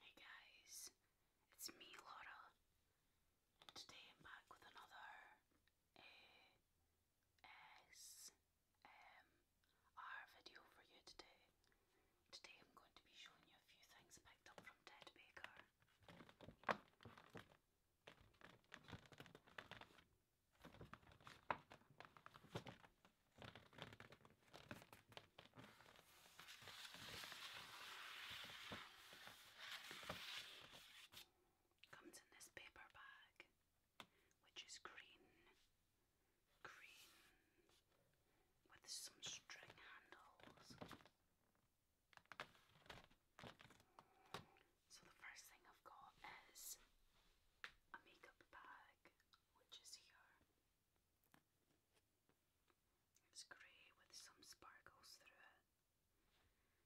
Hey guys, it's me Laura. Today I'm back with another ASMR video for you today. Today I'm going to be showing you a few things picked up from Ted Baker. Comes in this paper bag, which is green, green, with some string handles. So the first thing I've got is a makeup bag which is here. It's grey with some sparkles through it.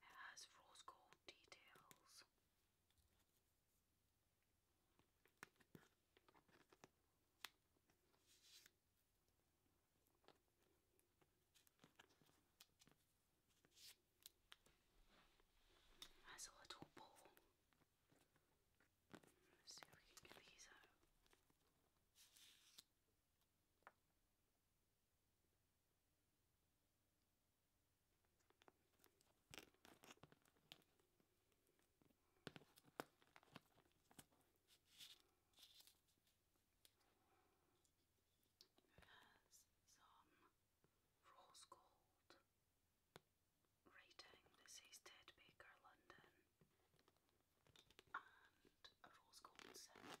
It has rose gold details. Has a little ball. Let's see if we can get these out. has some rose gold writing that says Ted Baker London and a rose gold sip.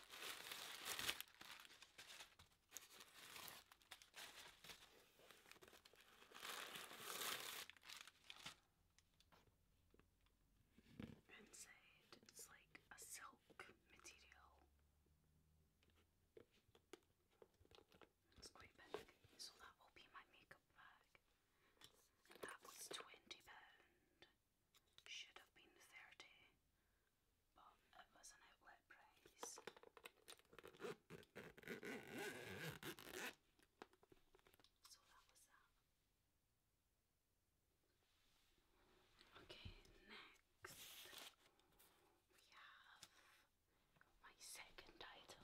Inside it's like a silk material. It's quite big, so that will be my makeup bag. that was £20 should have been 30 but it was an outlet price. So that was that. Okay, next we have my second item.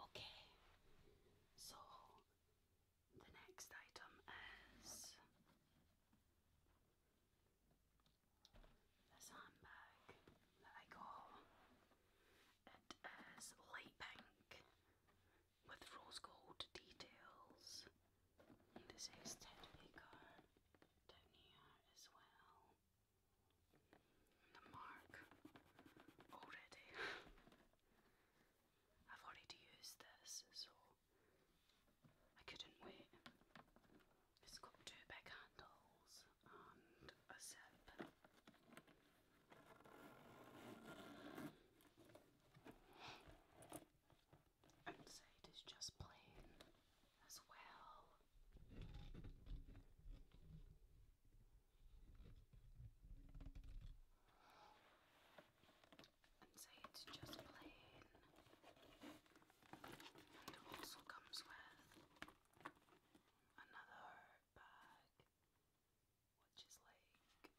Okay, so the next item is this handbag that I got. It is light pink with rose gold details. this is Ted Baker down as well. The mark already. I've already used this, so I couldn't wait. It's got two big handles and a zip. Outside is just plain as well and say it's just plain. It also comes with another bag, which is like a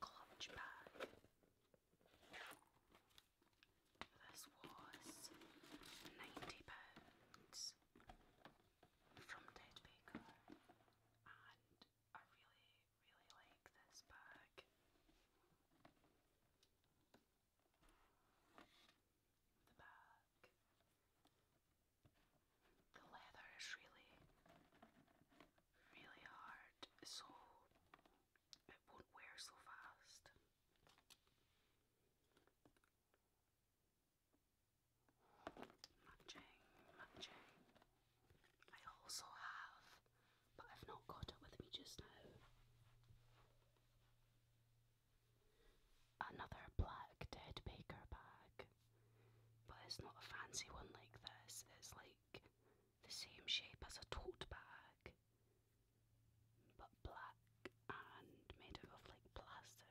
clutch bag. This was ninety pounds from Ted Baker, and I really really like this bag. The bag. The leather is really, really hard, so it won't wear so fast. Matching, matching. I also have, but I've not got it with me just now. Another black Dead Baker bag, but it's not a fancy one like this, it's like the same shape as a tote bag, but black and made of like plastic.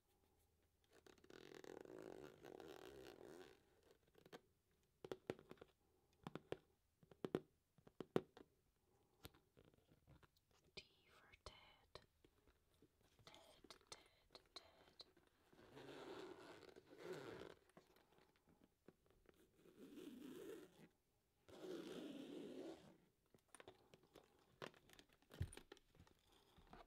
T for Ted. Ted, Ted, Ted.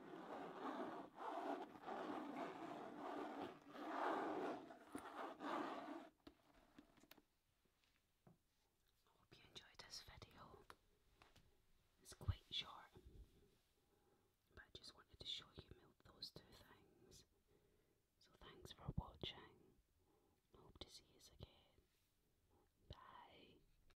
I hope you enjoyed this video. It's quite short, but I just wanted to show you those two things. So thanks for watching. hope to see you again. Bye.